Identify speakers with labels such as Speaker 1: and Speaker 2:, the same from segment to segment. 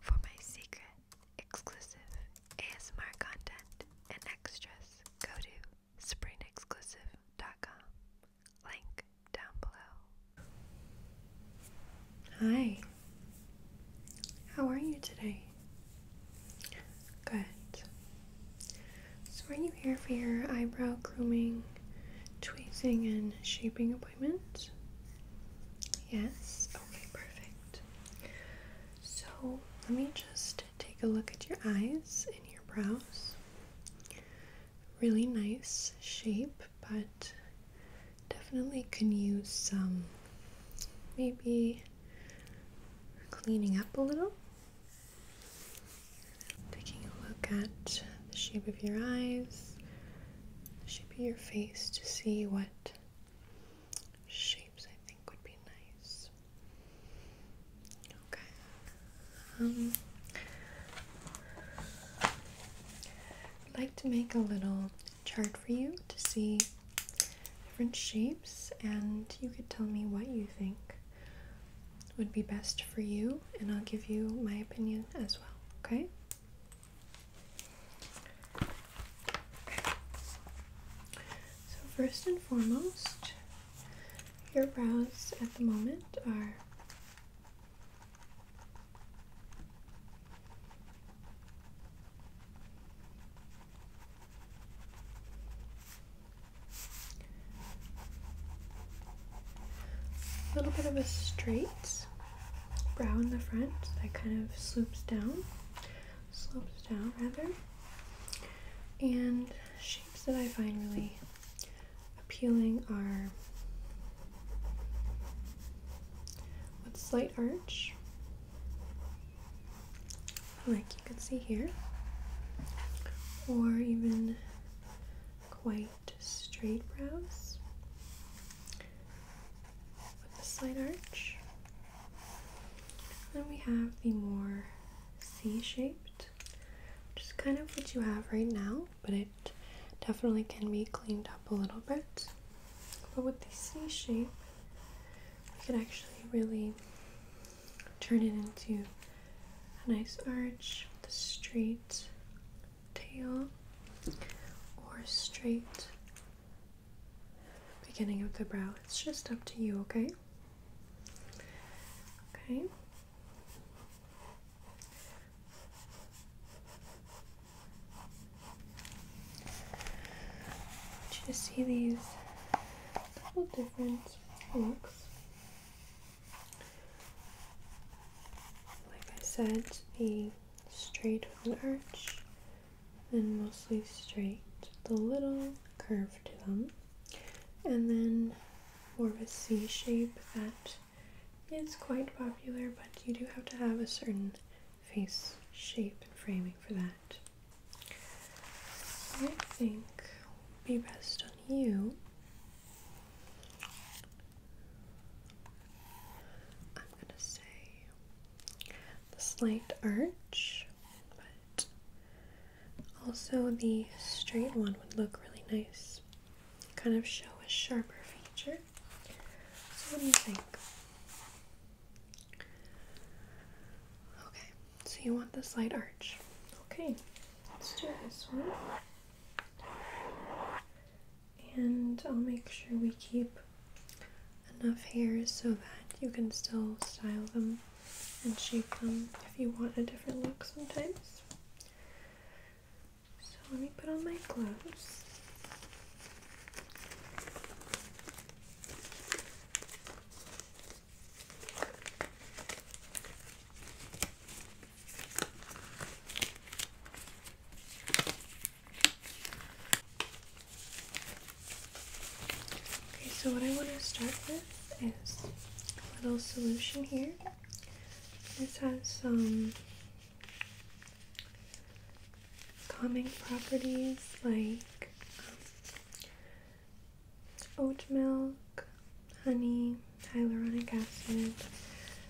Speaker 1: For my secret, exclusive ASMR content and extras, go to springexclusive.com. Link down below. Hi. How are you today? Good. So are you here for your eyebrow grooming, tweezing, and shaping appointment? Yes? Okay, perfect. So let me just take a look at your eyes and your brows. Really nice shape, but definitely can use some maybe cleaning up a little. Taking a look at the shape of your eyes, shape your face to see what shapes I think would be nice. Okay. Um, I'd like to make a little chart for you to see different shapes, and you could tell me what you think would be best for you, and I'll give you my opinion as well, okay? So, first and foremost, your brows at the moment are a little bit of a straight brow in the front that kind of slopes down, slopes down rather, and shapes that I find really appealing are with slight arch, like you can see here, or even quite straight, straight brows with a slight arch. Then we have the more C-shaped, which is kind of what you have right now, but it definitely can be cleaned up a little bit. But with the C shape, we could actually really turn it into a nice arch with a straight tail or straight beginning of the brow. It's just up to you, okay? Okay. I see these couple different looks. Like I said, the straight with an arch and mostly straight, the little curve to them, and then more of a C shape that is quite popular, but you do have to have a certain face shape and framing for that. I think will be best on you I'm gonna say the slight arch, but also the straight one would look really nice. Kind of show a sharper feature. So what do you think? Okay, so you want the slight arch. Okay, let's do this one. And I'll make sure we keep enough hairs so that you can still style them and shape them if you want a different look sometimes. So let me put on my gloves. Okay, so what I want to start with is a little solution here. This has some calming properties like um, oatmeal honey, hyaluronic acid.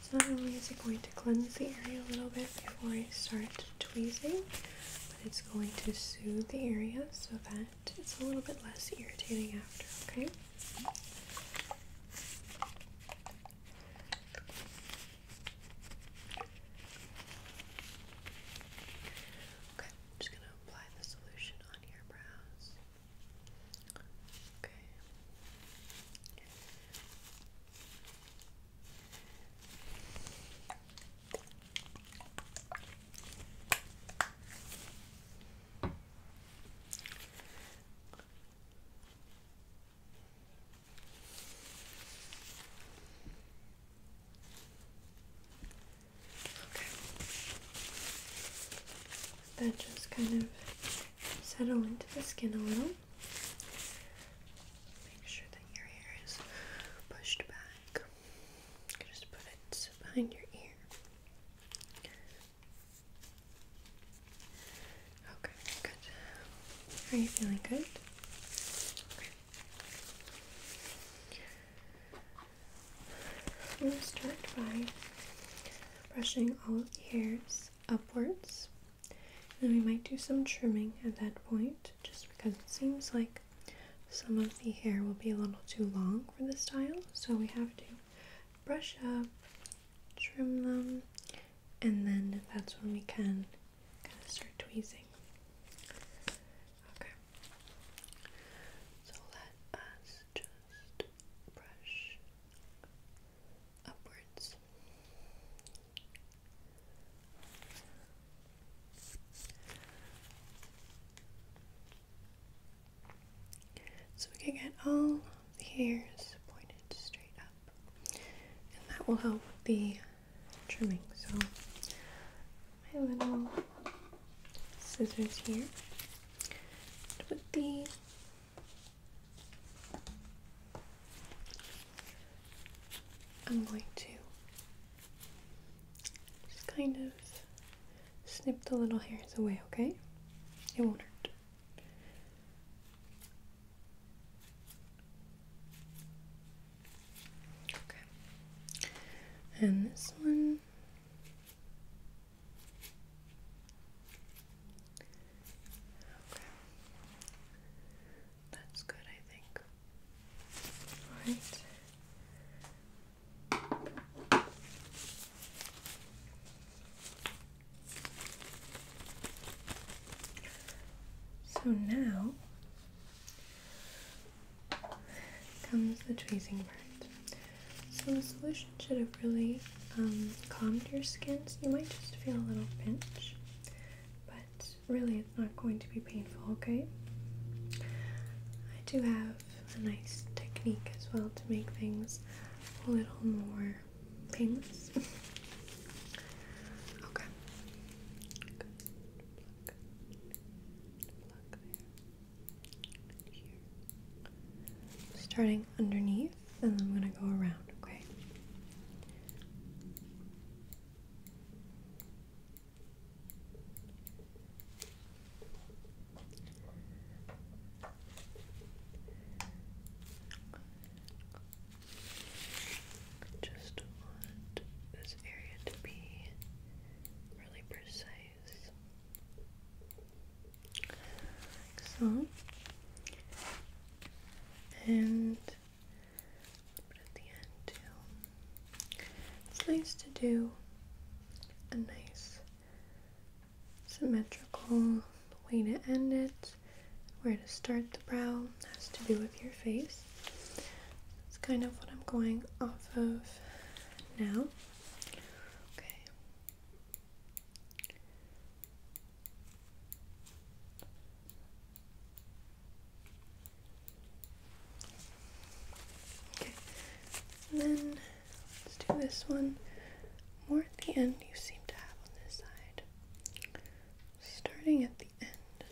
Speaker 1: So not only is it going to cleanse the area a little bit before I start tweezing, but it's going to soothe the area so that it's a little bit less irritating after, okay? just going to apply the solution on your brows. Okay. Okay. That just kind of settle into the skin a little. Make sure that your hair is pushed back. Just put it behind your ear. Okay, good. Are you feeling good? Okay. i start by brushing all the hairs upwards. then we might do some trimming at that point, just because it seems like some of the hair will be a little too long for the style. So we have to brush up, trim them, and then that's when we can kind of start tweezing. Okay. So let us just brush upwards. So we can get all the hairs pointed straight up, and that will help the trimming. So my little scissors here. with the I'm going to just kind of snip the little hairs away, okay? It won't hurt. Okay. And this one that's good, I think. Alright. So now comes the tracing part. So the solution should have really calmed your skin, so you might just feel a little pinch, but really it's not going to be painful, okay? I do have a nice technique as well to make things a little more painless. okay. Starting underneath, and then I'm going to go around, okay? just want this area to be really precise so and put at the end too it's nice to do a nice symmetrical way to end it where to start the brow has to do with your face that's kind of what I'm going off of now Okay. Okay. then let's do this one more at the end you seem to have on this side. Starting at the end.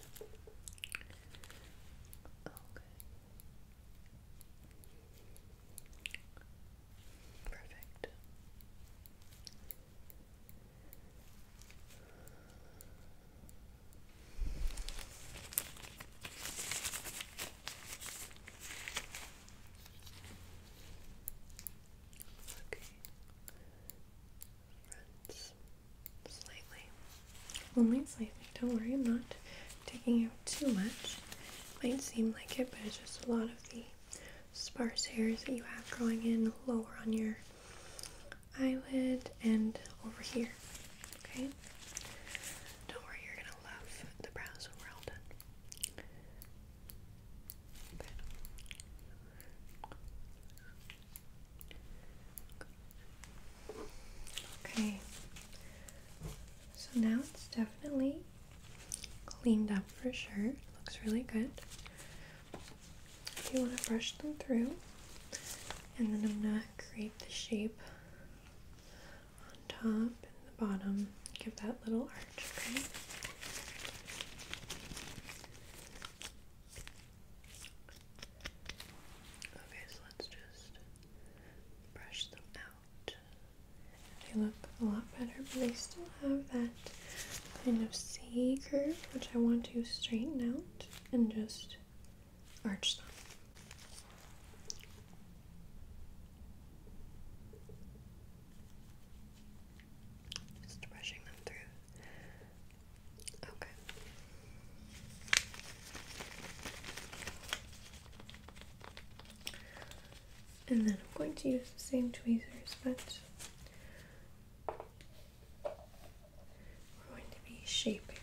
Speaker 1: Okay. Perfect. Okay. Rinse slightly only slightly. Don't worry, I'm not taking out too much. Might seem like it, but it's just a lot of the sparse hairs that you have growing in lower on your eyelid and over here. Okay? Don't worry, you're gonna love the brows when we're all done. Okay, so now it's definitely cleaned up for sure. Looks really good. If you want to brush them through, and then I'm gonna create the shape on top and the bottom. Give that little arch, okay? Okay, so let's just brush them out. They look a lot better, but they still have that kind of C curve, which I want to straighten out and just arch them. Just brushing them through. Okay, and then I'm going to use the same tweezers, but we're going to be shaping.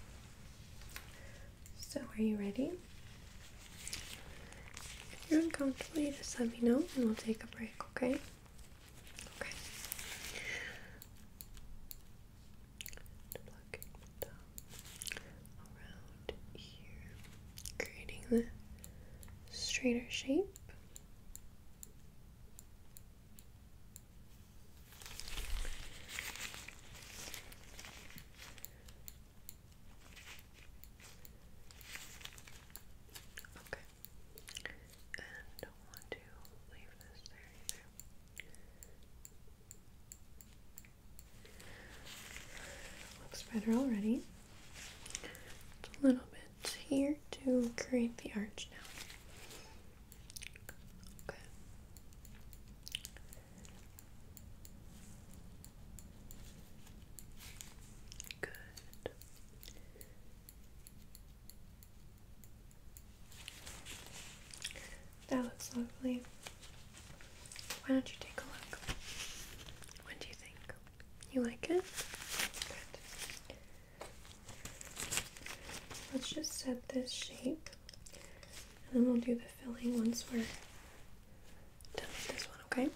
Speaker 1: So, are you ready? If you're uncomfortable, you just let me know and we'll take a break, okay? Okay creating the straighter shape. Okay. And don't want to leave this there either. Looks better already. Just a little bit here to create the arch now. Okay. Good. That looks lovely. Why don't you take a look? What do you think? You like it? Let's just set this shape and then we'll do the filling once we're done with this one, okay?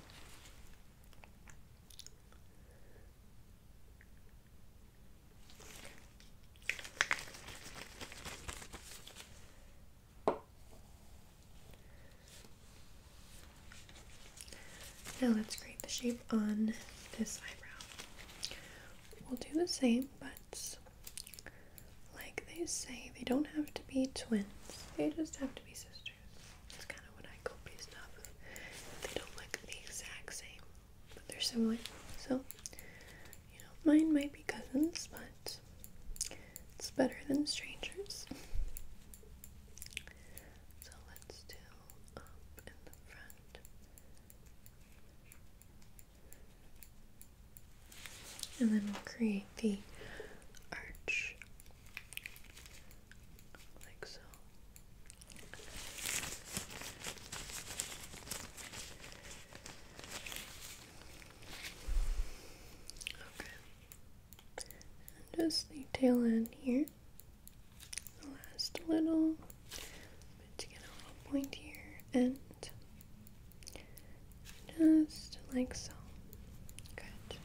Speaker 1: Now let's create the shape on this eyebrow. We'll do the same, but like they say, they don't have to be twins. They just have to be sisters. That's kind of what I copied stuff. They don't look the exact same but they're similar. So, you know, mine might be cousins, but it's better than strangers. So let's do up in the front. And then we'll create the arch like so just the tail end here. The last little to get a little point here and just like so. Good.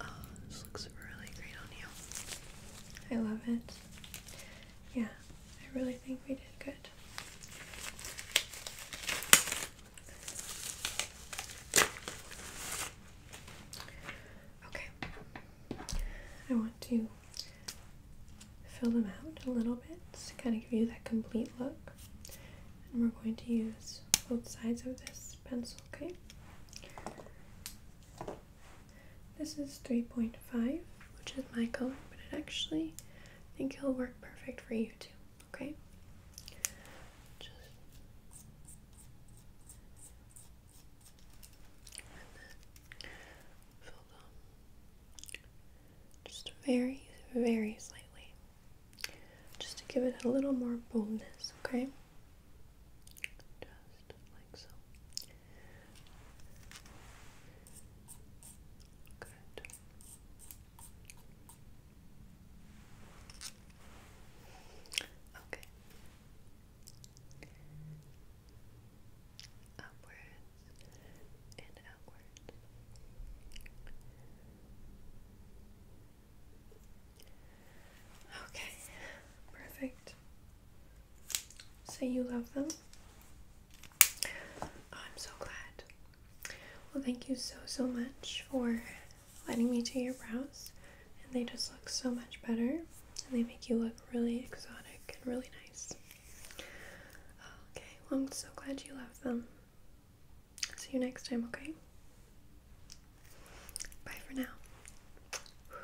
Speaker 1: Oh, this looks really great on you. I love it. Yeah, I really think we did good. Okay, I want to fill them out a little bit to kind of give you that complete look. And we're going to use both sides of this pencil, okay? This is 3.5, which is my color, but it actually, I think it'll work perfect for you too, okay? Just just very, very slightly, just to give it a little more boldness, okay? Just like so. Good. Okay. Upwards and outwards. Okay, perfect. Say you love them? I'm so glad. Well, thank you so, so much for letting me do your brows. And they just look so much better. And they make you look really exotic and really nice. Okay, well, I'm so glad you love them. See you next time, okay? Bye for now.